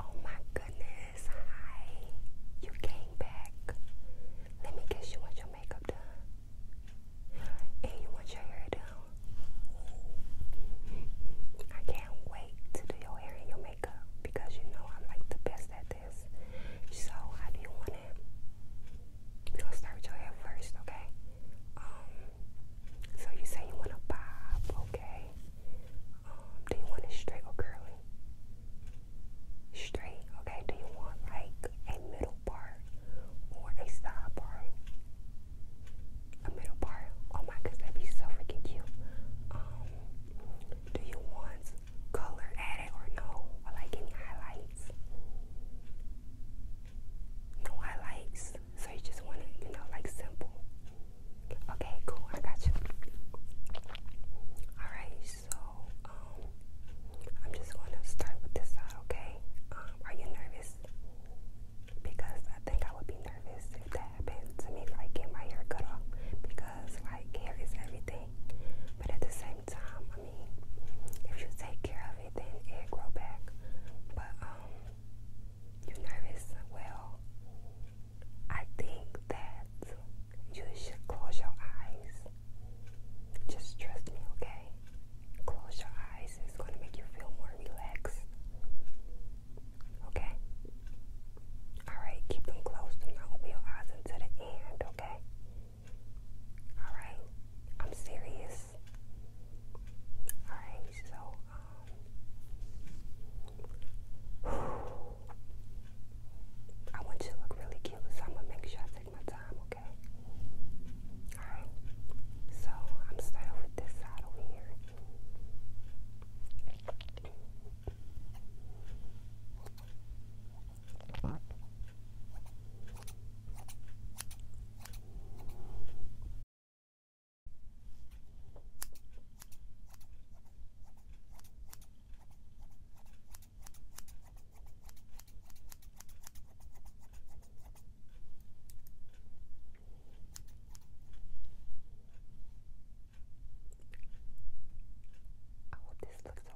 Oh my goodness, hi. You came back. Let me guess you want your makeup done. And you want your hair done. I can't wait to do your hair and your makeup because you know I'm like the best at so I do you want it? we gonna start your hair first, okay? Um, so you say you want a bob, okay? Um, do you want it straight or curly? Straight, okay. Do you want like a middle part or a side part? A middle part. Oh my that'd be so freaking cute. Um, do you want color added or no, or like any highlights. No highlights, so you just want to, you know, like simple. Okay, cool, I got you. Alright, so um, I'm just going to start with this side, okay? Um, are you nervous? Because I think I would be nervous if that happened to me, like get my hair cut off. Because like hair is everything, but at the same time, if you take care of it, then it grow back. But um, you nervous? Well, I think that you should close your eyes. Just trust me, okay? Close your eyes. It's gonna make you feel more relaxed. Okay. All right. Keep them closed and not open your eyes until the end. Okay. Alright, I'm serious. Alright, so, um, I want you to look really cute, so I'm gonna make sure I take my time, okay? Alright, so I'm going with this side over here. I hope this looks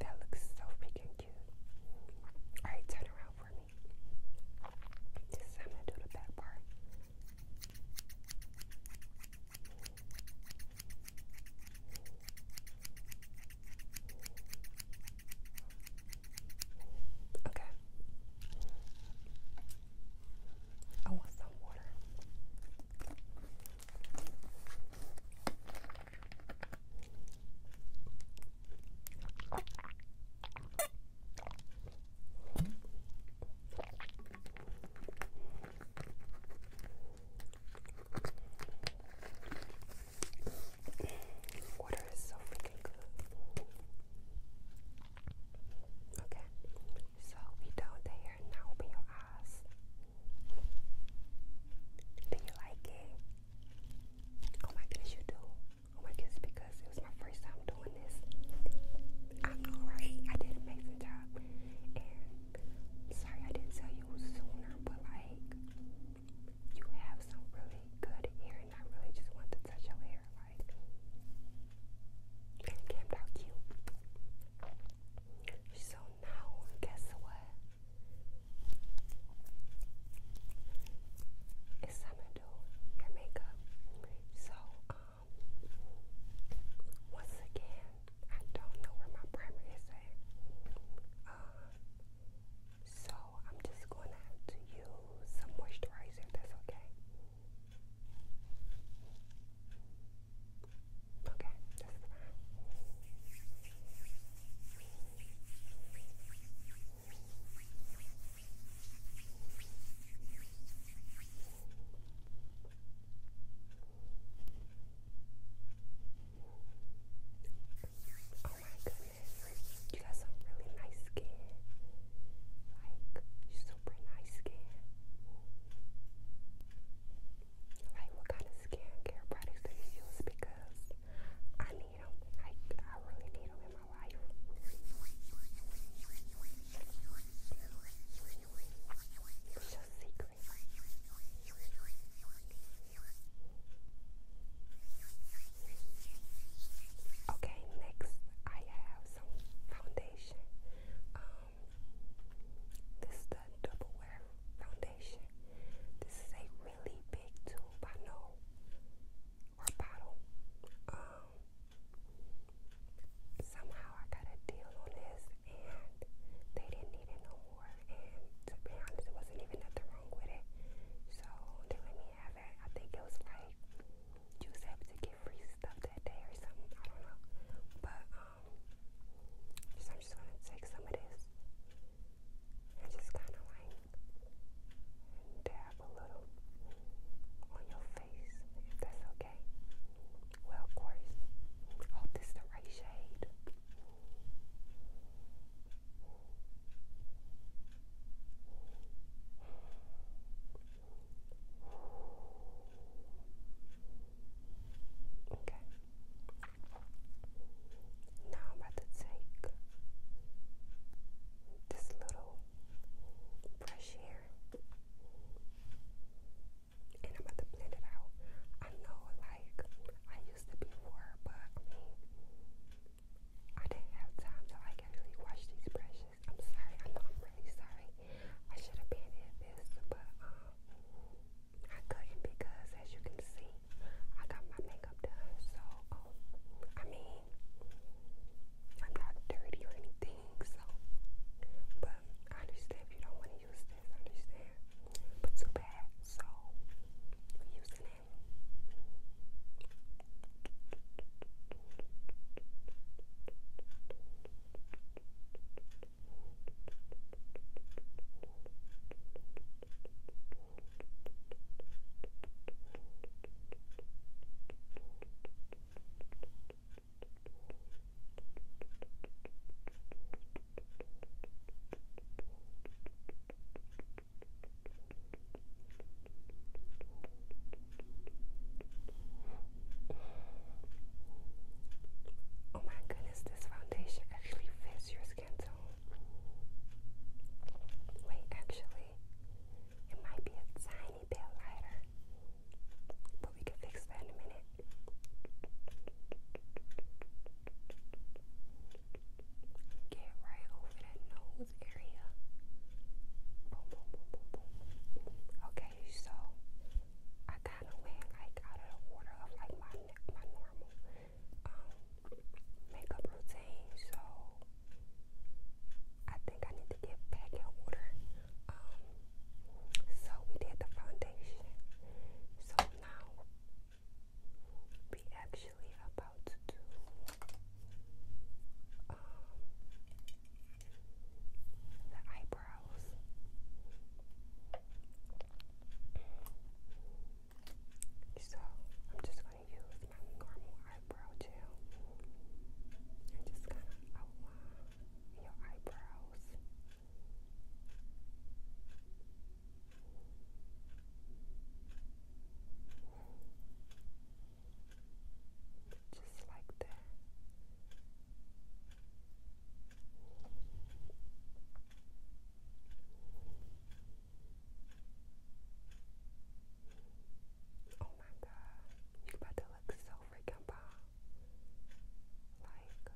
That looks so freaking cute. Alright, turn around for me. I'm gonna do the back part. Okay. I want some water. Water so freaking good. Okay, so we down there now. Open your eyes. Do you like it? Oh my goodness, you do. Oh my goodness, because it was my first time doing this. I know, right? I did amazing job. And sorry I didn't tell you sooner, but like, you have some really good hair, and I really just want to touch your hair. Like, and came out cute. So now, guess what? It's time to do your makeup. So, um, once again, I don't know where my primer is at. Um, so I'm just going to have to use some moisturizer if that's okay. Okay, Oh my goodness, you got some really nice skin. Like, super nice skin like what kind of skincare products do you use because I need them. Like I really need them in my life. It's secret. Okay, next I have some foundation. Um, this is the double wear foundation. This is a really big tube, I know, or bottle. Um, somehow I got a deal on this, and they didn't need it no more. And to be honest, it wasn't even nothing wrong with it. So they let me have it. I think it was like you was able to get free stuff that day or something. I don't know, but. Um, so I'm just gonna take some of this and just kind of like dab a little on your face, if that's okay. Well, of course, hope this the right shade. Okay. Now I'm about to take this little brush here and I'm about to blend it out. I know like I used to before, but I didn't have time to like actually wash these brushes. I'm sorry, I know I'm really sorry. I should have been in but um, I couldn't because, as you can see, I got my makeup done. So, um, I mean, I'm not dirty or anything. So, but I understand if you don't want to use this. I understand, but too bad. So, we're using it. Oh my goodness, this foundation actually fits your skin tone. Wait, actually, it might be a tiny bit lighter, but we can fix that in a minute. Get right over that nose area. Boom, boom, boom, boom, boom. Okay, so I kind of went like out of the water of like my my normal um, makeup routine, so I think I need to get back in order. Um, so we did the foundation. So now we actually about to um, the eyebrows brows. So I'm just going to use my normal eyebrow gel and just kind of outline your eyebrows. Just like that. Oh my god, you about to look so freaking bomb. Like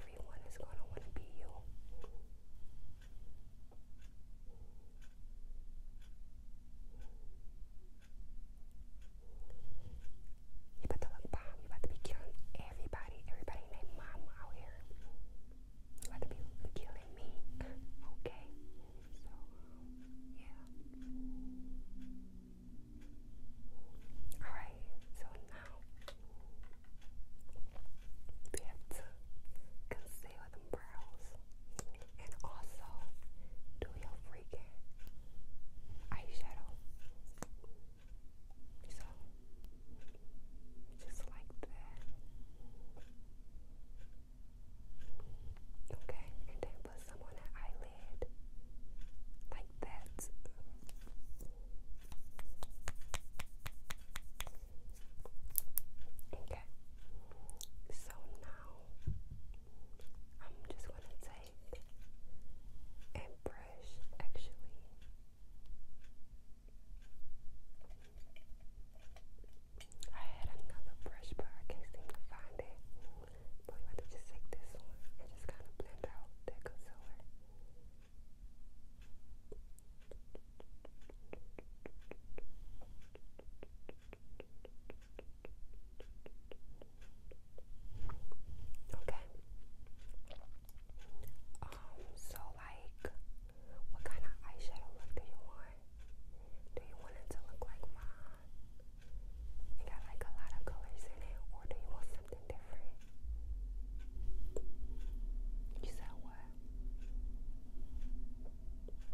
everyone is gonna wanna be you. You about to look bomb. You about to be killing everybody, everybody and their out here. You about to be killing me, okay? So, yeah. Alright, so now we have to conceal the brows and also do your eyeshadow. So, just like that. Okay, and then put some on the eyelid, like that. Okay, so now I'm just going to take like a brush actually. I had another brush but I can't seem to find it. But I'm to just take this one and just kind of blend out that concealer. Okay. Um, so like what kind of eyeshadow look do you want? Do you want it to look like mine? It got like a lot of colors in it, or do you want something different? You said what?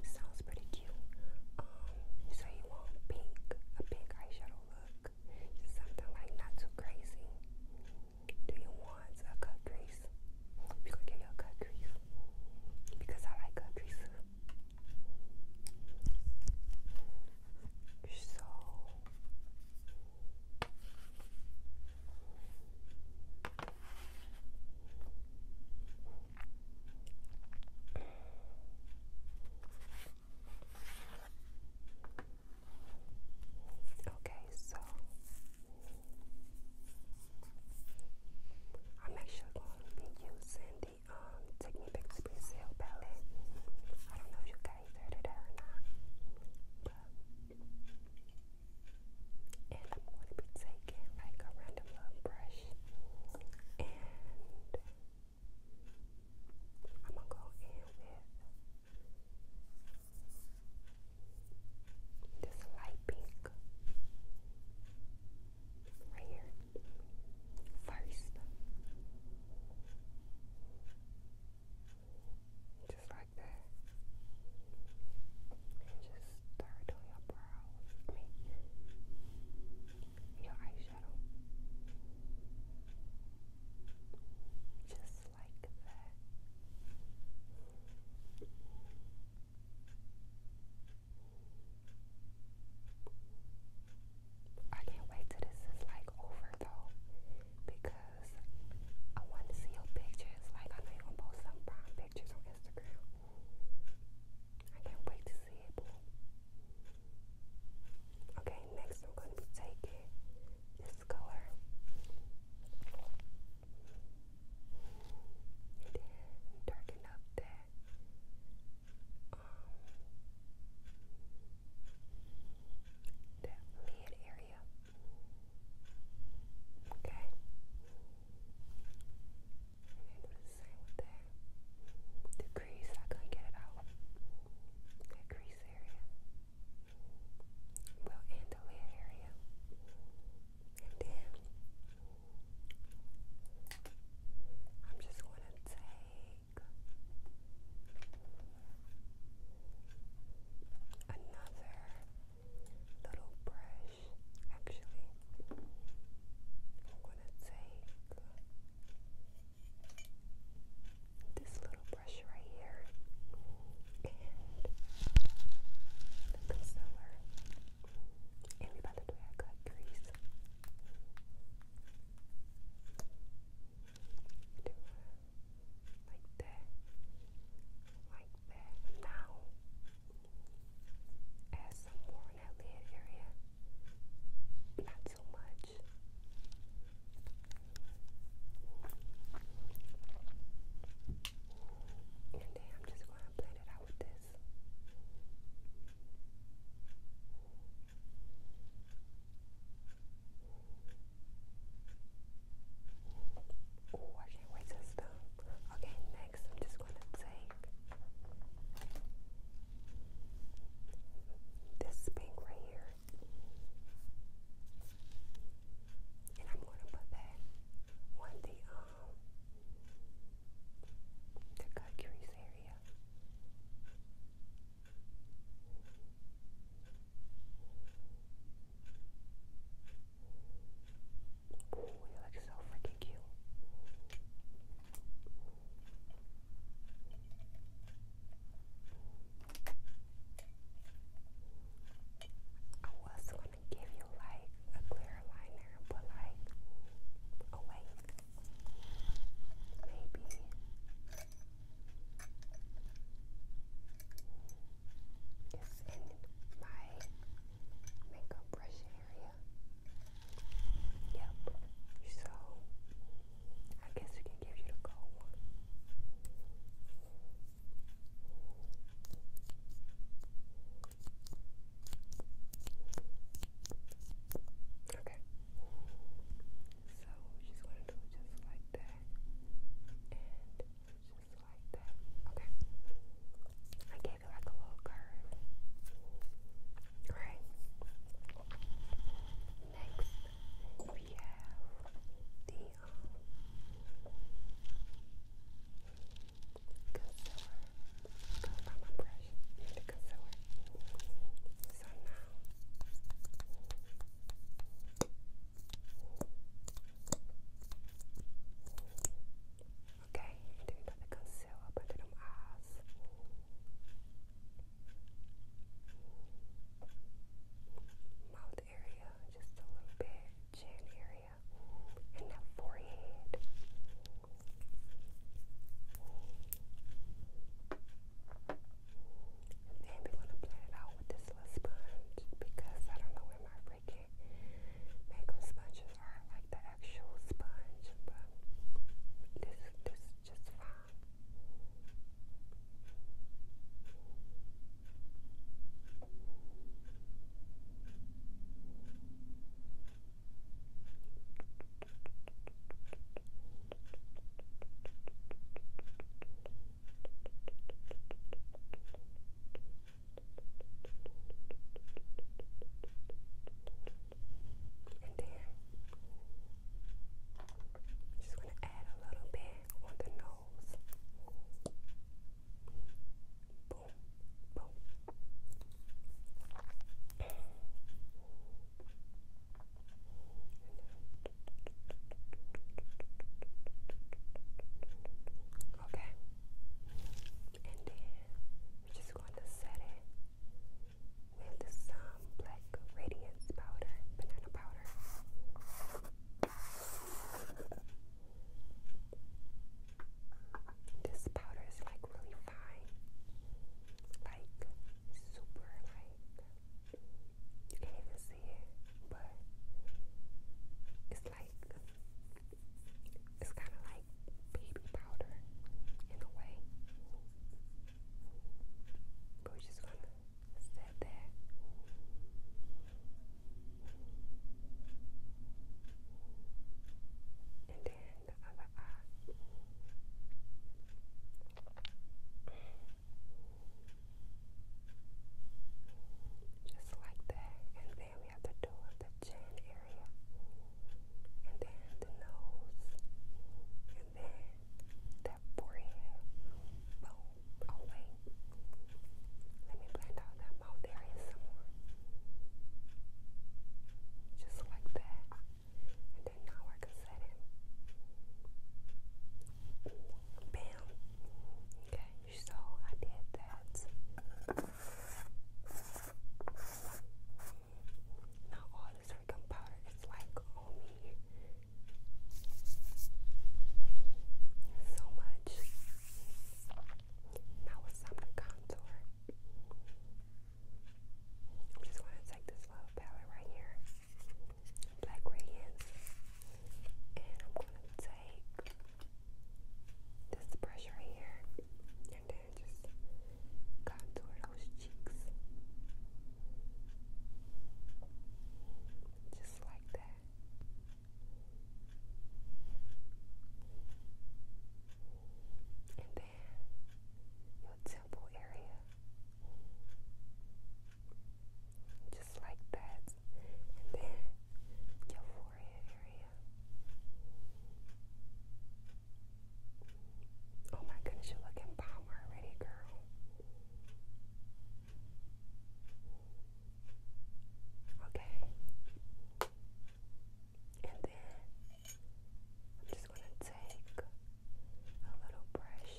Sounds pretty cute. Um, so you you pink, a pink eyeshadow look, something like not too crazy. Do you want a cut crease? We gonna give you a cut crease because I like cut crease. So. Okay, so I'm actually going to be using the um, Technique Express palette. I don't know if you guys heard of that or not, and I'm going to be taking like a random brush and I'm gonna go in with this light pink right here first. Just like that. just start on your brows. I your eyeshadow. Just like that. I can't wait till this is like over though, because I want to see your pictures. Like I know you post some prime pictures on Instagram. I can't wait to see it, Okay, next I'm going to be taking this color. And darken up um, that mid area. Okay the same with The crease, I couldn't get it out. That crease area. Well, and the lid area. And then I'm just going to take another little brush. Actually, I'm going to take this little brush right here and the concealer. And we're about to do grease. like that. Like that. Now as some more in that lid area. Not too much. And then I'm just going to blend it out with this. Oh, I can't wait to Okay, legs, which is what I'm This pink right here. And I'm gonna put that on the um the cut crease area. Oh, you look so freaking Thank you. I was gonna give you like a clear liner, but like, oh, wait, maybe. It's in my makeup brushing area. Yep. So I guess we can give you the cold one. Okay. So she's gonna do it just like that. And just like that. Okay. I you get like a little curve. Right. Next, we have the um, concealer. Goes by my brush. The concealer. So now. I'm Ok, tentando cancelar padrão as. Mouth area, just a little bit, chin area, and the forehead. then we want to blend it out with this little sponge because I don't know where my break making makeup sponges aren't like the actual sponge, but this this is just fine. Okay, and then just going to add a little bit on the nose. Boom, boom. Okay. And then I'm just going to set it with some black radiance powder, banana powder. This powder is like really fine, like super like you can't even see it, but it's like it's kind of like baby powder in a way. But we're just gonna set that. And then Just like that there we have to do of the chin area, and then the nose, and then that forehead. Boom. Oh, oh let me blend out that mouth area some more, just like that. And then now I can set it. Bam. Okay, so I did that. Now all this powder is like on me. So much. Now it's time to contour. I'm just gonna take this little palette right here, Black Radiance, and I'm gonna take this brush right here, and then just contour those cheeks. Just like that. And then your temple area. Just like that. And then your forehead area. Oh my goodness, you are looking bomber already, girl. Okay. And then I'm just going to take a little brush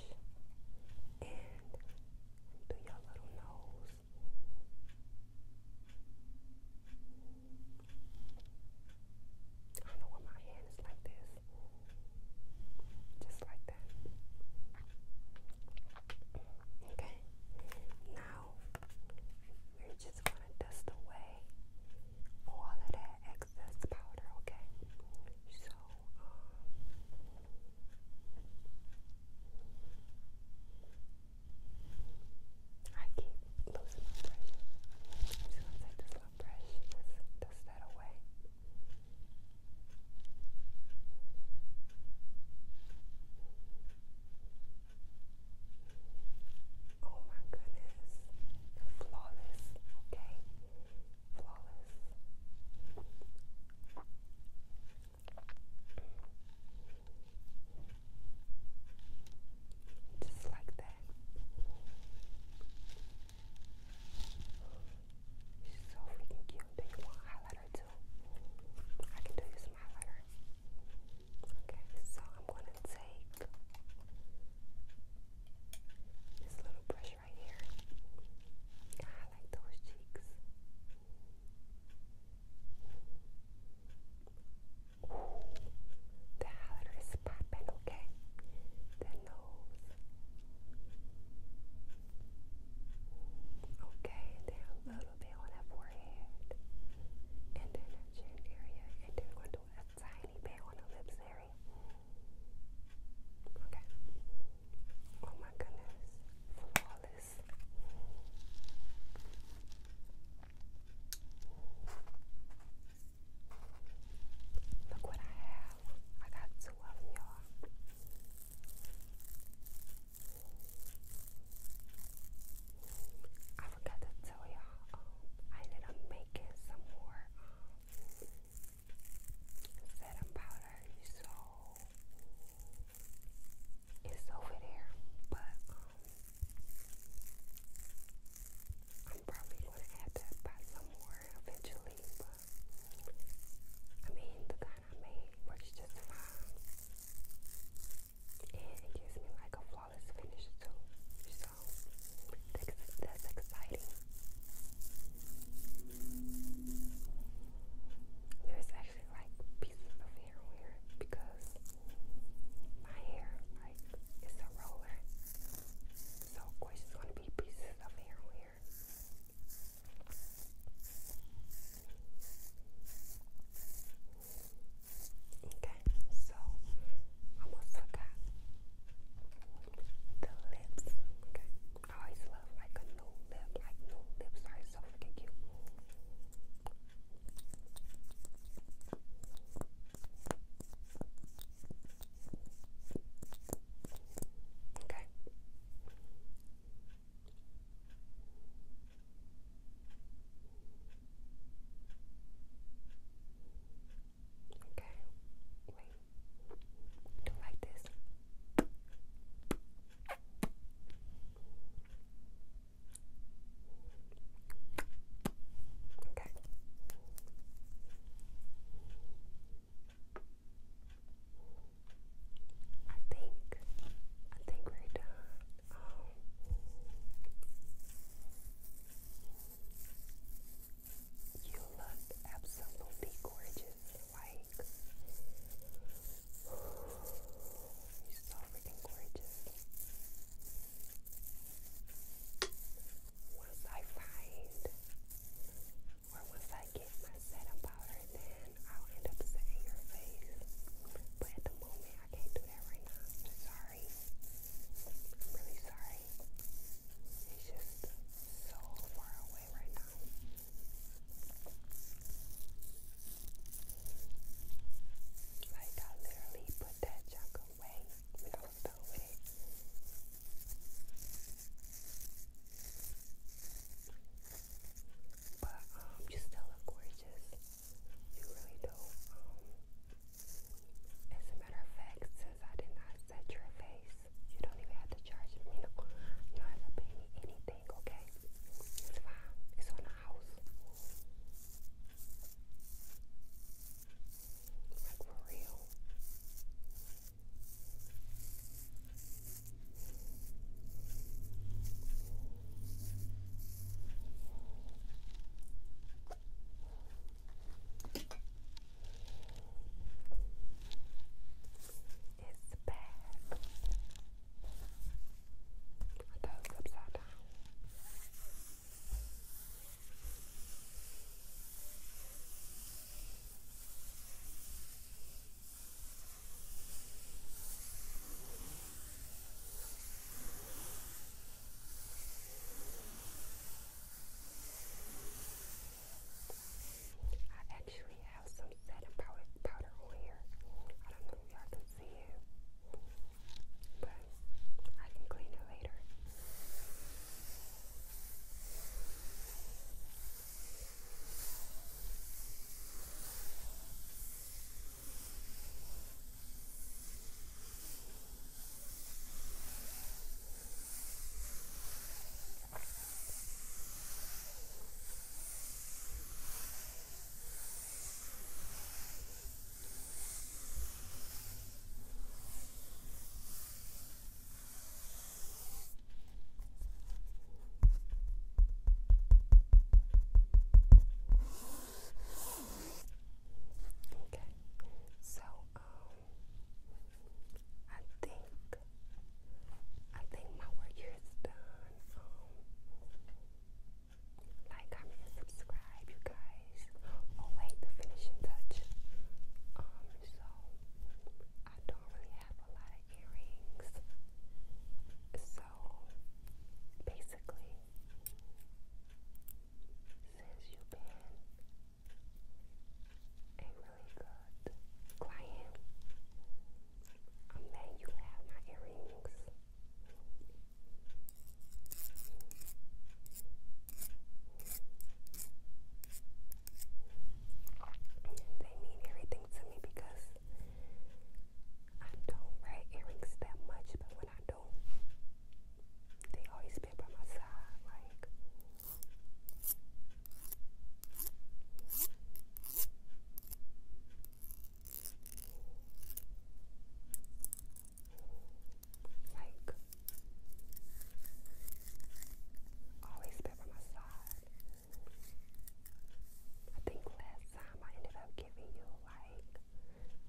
and do your little nose. I do know why my hand is like this. Just like that. Okay. Now we're just gonna dust away all of that excess powder, okay? So um, I keep losing my brush. I'm just gonna take this little brush, just dust that away. Oh my goodness. Flawless, okay? Flawless. Just like that. She's so freaking cute. Do you want highlighter too? I can do you some highlighter. Okay, so I'm gonna take this little brush right here. I like those cheeks. The heart is popping, okay? The nose. Okay, then a little bit on the forehead. And then the chin area. And then going to a tiny bit on the lips area. Okay. Oh my goodness. Flawless six. Look what I have. I got two of y'all. I forgot to tell y'all, um, I ended up making some more um, setting powder. So it's over there, but um, I'm probably gonna have to buy some more eventually. But I mean, the kind I made works just fine, and it gives me like a flawless finish too. So that's, that's exciting. There's actually like pieces of hair wear because my hair, like, it's a roller. So, it's going to be pieces of hair wear. Okay, so almost forgot the lips. Okay, I always love like a new like new lips are so freaking cute. Okay. Okay. Wait. Do like this. Okay. I think I think we're done. Um, you look absolutely gorgeous. Like He's so freaking gorgeous. Once I find or once I get my setting powder, then I'll end up setting your face. But at the moment, I can't do that right now. I'm sorry. I'm really sorry. It's just so far away right now. Like I literally put that junk away when I was But um, you still look gorgeous. You really do. Um, as a matter of fact, since I did not set your face, you don't even have to charge me. you don't have me anything big, okay? It's fine. It's on the house. Like for real is bad. Are those upside down? I actually have some setting powder, powder on here. I don't know if y'all can see it, but I can clean it later. Okay, so um, I think I think my work here is done. Um, like, comment, and subscribe, you guys. Oh wait, the finishing touch. Um, so I don't really have a lot of earrings. So basically, since you've been a really good client, and you have my earrings. They mean everything to me because I don't wear earrings that much, but when I do, they always be by my side. Like, like, always by my side. I think last time I ended up giving you like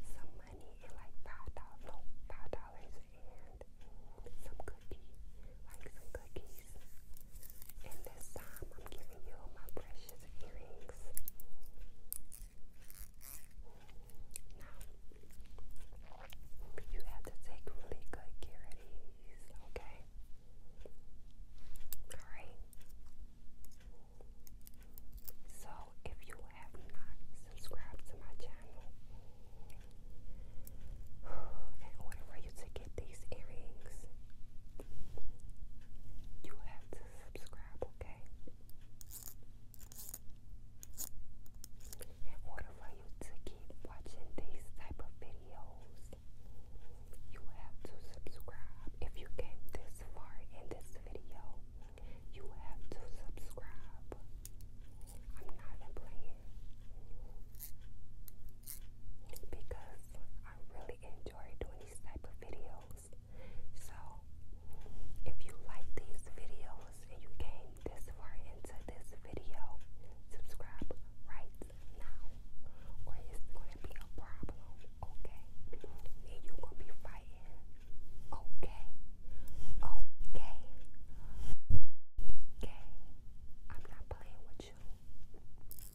some money and like five dollars, no, five dollars and some cookies like some cookies. And this time I'm giving you my precious earrings. Now, you have to take really good care of these, okay? Alright? So, if you have not subscribed to my channel, in order for you to get these earrings, you have to subscribe, okay? In order for you to keep watching these type of videos, you have to subscribe. If you came this far in this video, you have to subscribe. I'm not even playing because I really enjoy doing these type of videos. So if you like these videos and you came this far into this video, subscribe right now or it's gonna be a problem, okay? And you gonna be fighting. Okay. Okay. Okay. I'm not playing with you.